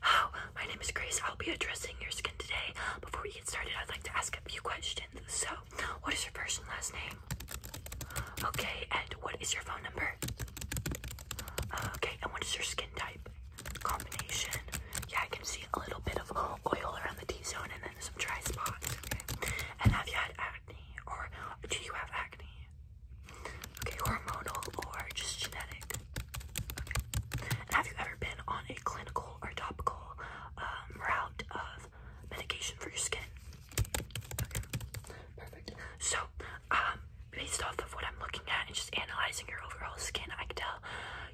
Hello, my name is Grace. I'll be addressing your skin today. Before we get started, I'd like to ask a few questions. So, what is your first and last name? Okay, and what is your phone number? Okay, and what is your skin type? Combination. Yeah, I can see a little bit of oil around the T-zone and then some dry spots. Okay. And have you had acne, or do you have acne? Okay, hormonal or just genetic? have you ever been on a clinical or topical um, route of medication for your skin? So, um, based off of what I'm looking at and just analyzing your overall skin, I can tell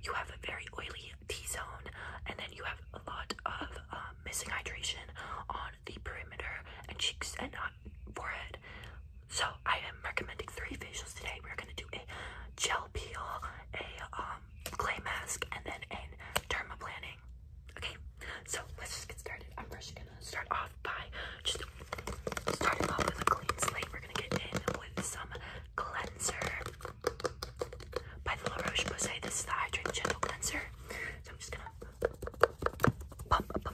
you have a very oily T-zone, and then you have a lot of um, missing hydration on the perimeter and cheeks and forehead. So I am recommending three facials today. We're gonna do a gel peel, a um, clay mask, and then a planning. Okay, so let's just get started. I'm first gonna start off by just starting off with a clean slate. We're gonna get in with some cleanser by the La Roche Posay. This is the hydrating Gentle Cleanser. So I'm just gonna pump, pump,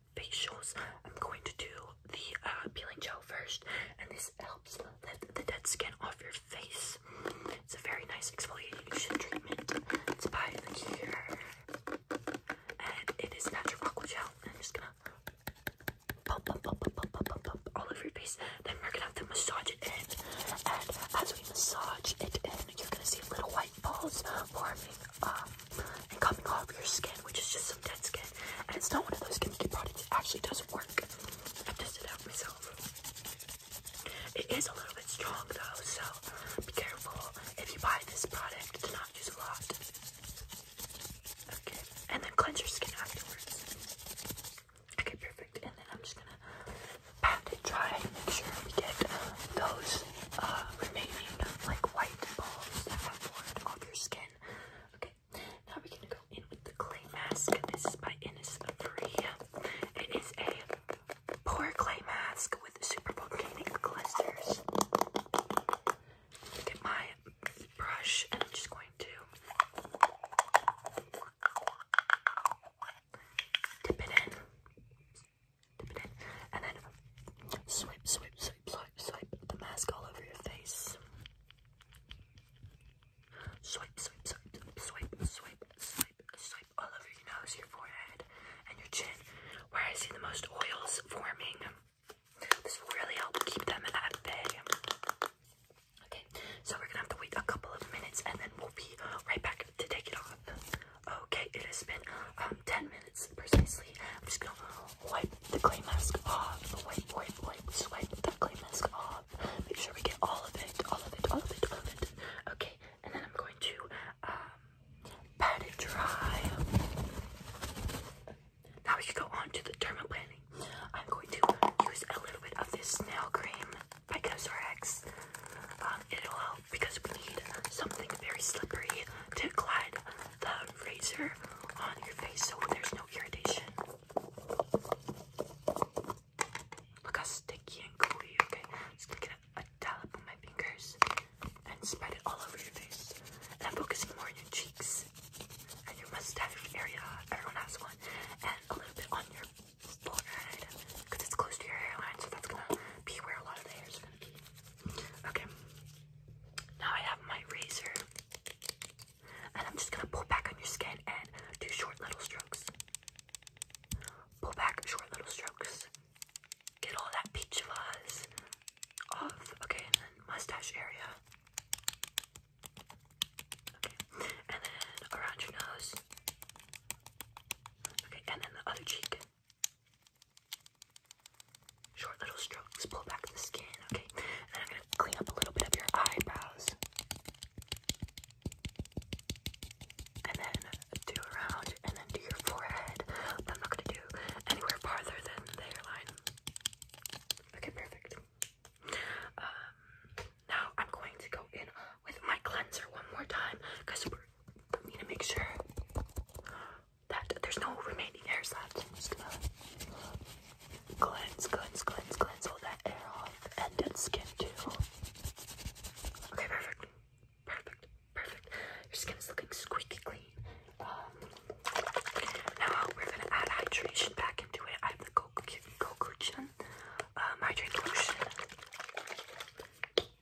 facials. I'm going to do the uh, peeling gel first, and this helps let the dead skin off your face. It's a very nice exfoliation treatment. It's by the cure, and it is natural aqua gel. I'm just gonna pump, pump, pump, pump, pump, pump, pump all over your face. Then we're gonna have to massage it in, and as we massage it in, you're gonna see little white light bulbs and coming off your skin, which is just some dead skin. And it's not one of those skincare products, it actually does work. I tested it out myself. It is a little bit strong though, so be careful if you buy this product to not use a lot. Okay, and then cleanse your skin afterwards. Okay, perfect. And then I'm just gonna pat it dry make sure we get those remaining uh, like white balls that have formed off your skin. Okay, now we're gonna go in with the clay mask. This is by Innis It is a pore clay mask with super volcanic glisters. Get my brush, and I'm just going to dip it in. Dip it in. And then swipe, swipe, swipe, swipe, swipe the mask all over your face. Swipe, swipe, swipe, swipe, swipe, swipe, swipe all over your nose, your forehead, and your chin. Where I see the most oils forming. This will really help keep them at bay. Okay, so we're gonna have to wait a couple of minutes and then we'll be right back to take it off. Okay, it has been um 10 minutes precisely. I'm just gonna wipe the clay mask off. Wipe, wipe, wipe, swipe the clay mask off. Make sure we get all of it, all of it, all of it, all of it. Okay, and then I'm going to um pat it dry. Now we can go on to the planning. I'm going to use a little bit of this nail cream by CosRx. Um, it'll help because we need something very slippery to glide the razor on your face so there's no irritation. Look how sticky and gooey, okay? Just going get a, dollop on my fingers and spread it all over your face. And i more on your cheeks and your mustache area. Everyone has one. And a little bit on your forehead because it's close to your hairline, so that's gonna be where a lot of the hairs Okay. Now I have my razor. And I'm just gonna pull back on your skin and do short little strokes. Pull back short little strokes. Get all that peach fuzz off. Okay, mustache area. Okay, and then around your nose. Okay, and then the other cheek. Short little strokes, pull back the skin, okay? And I'm gonna clean up a little bit of your eyebrows. And then do around and then do your forehead. I'm not gonna do anywhere farther than the hairline. Okay, perfect. Um, now I'm going to go in with my cleanser one more time because we need to make sure that there's no remaining air left. I'm just gonna cleanse, cleanse, cleanse, cleanse all that air off and dead skin too. Okay, perfect. Perfect. Perfect. Your skin is looking squeaky clean. Um, now we're gonna add hydration back into it. I have the Goku Goku Chin um,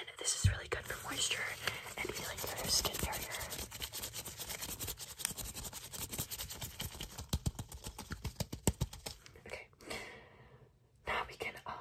And this is really good for moisture and healing your skin barrier. Okay. Now we can um,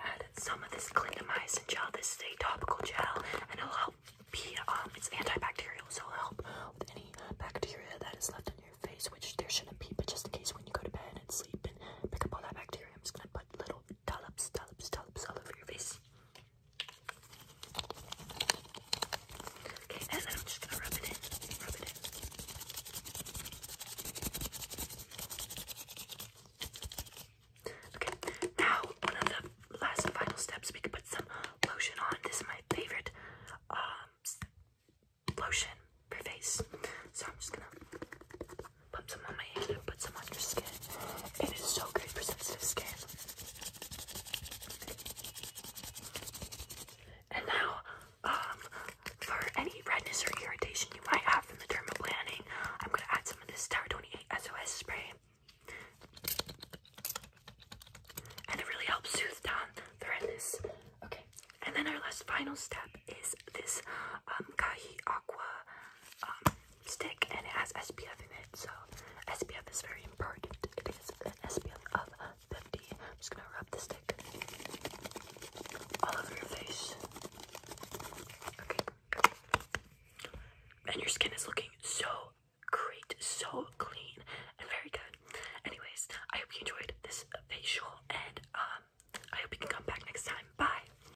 add some of this clindamycin gel. This is a topical gel, and it'll help be um, it's antibacterial, so it'll help with any bacteria that is left on your face, which there shouldn't be. But just in case, when you go to bed and sleep and pick up all that bacteria, I'm just gonna put little dollops, dollops, dollops all over your face. Okay, and I'm just gonna rub it in. Rub it in. Okay, now one of the last final steps, we can put some lotion on. This is my favorite um, lotion for face. So I'm just gonna put some on my hand and put some on your skin. It is so great for sensitive skin. And now, um, for any redness or irritation you might have from the dermal planning, I'm gonna add some of this Tower 28 SOS spray. And it really helps soothe down the redness. Okay, and then our last final step is this um, Kahi Aqua um, stick and it has SPF in it. So SPF is very important. It is an SPF of 50. I'm just gonna rub the stick all over your face. Okay. And your skin is looking so great, so clean, and very good. Anyways, I hope you enjoyed this facial, and um, I hope you can come back next time. Bye.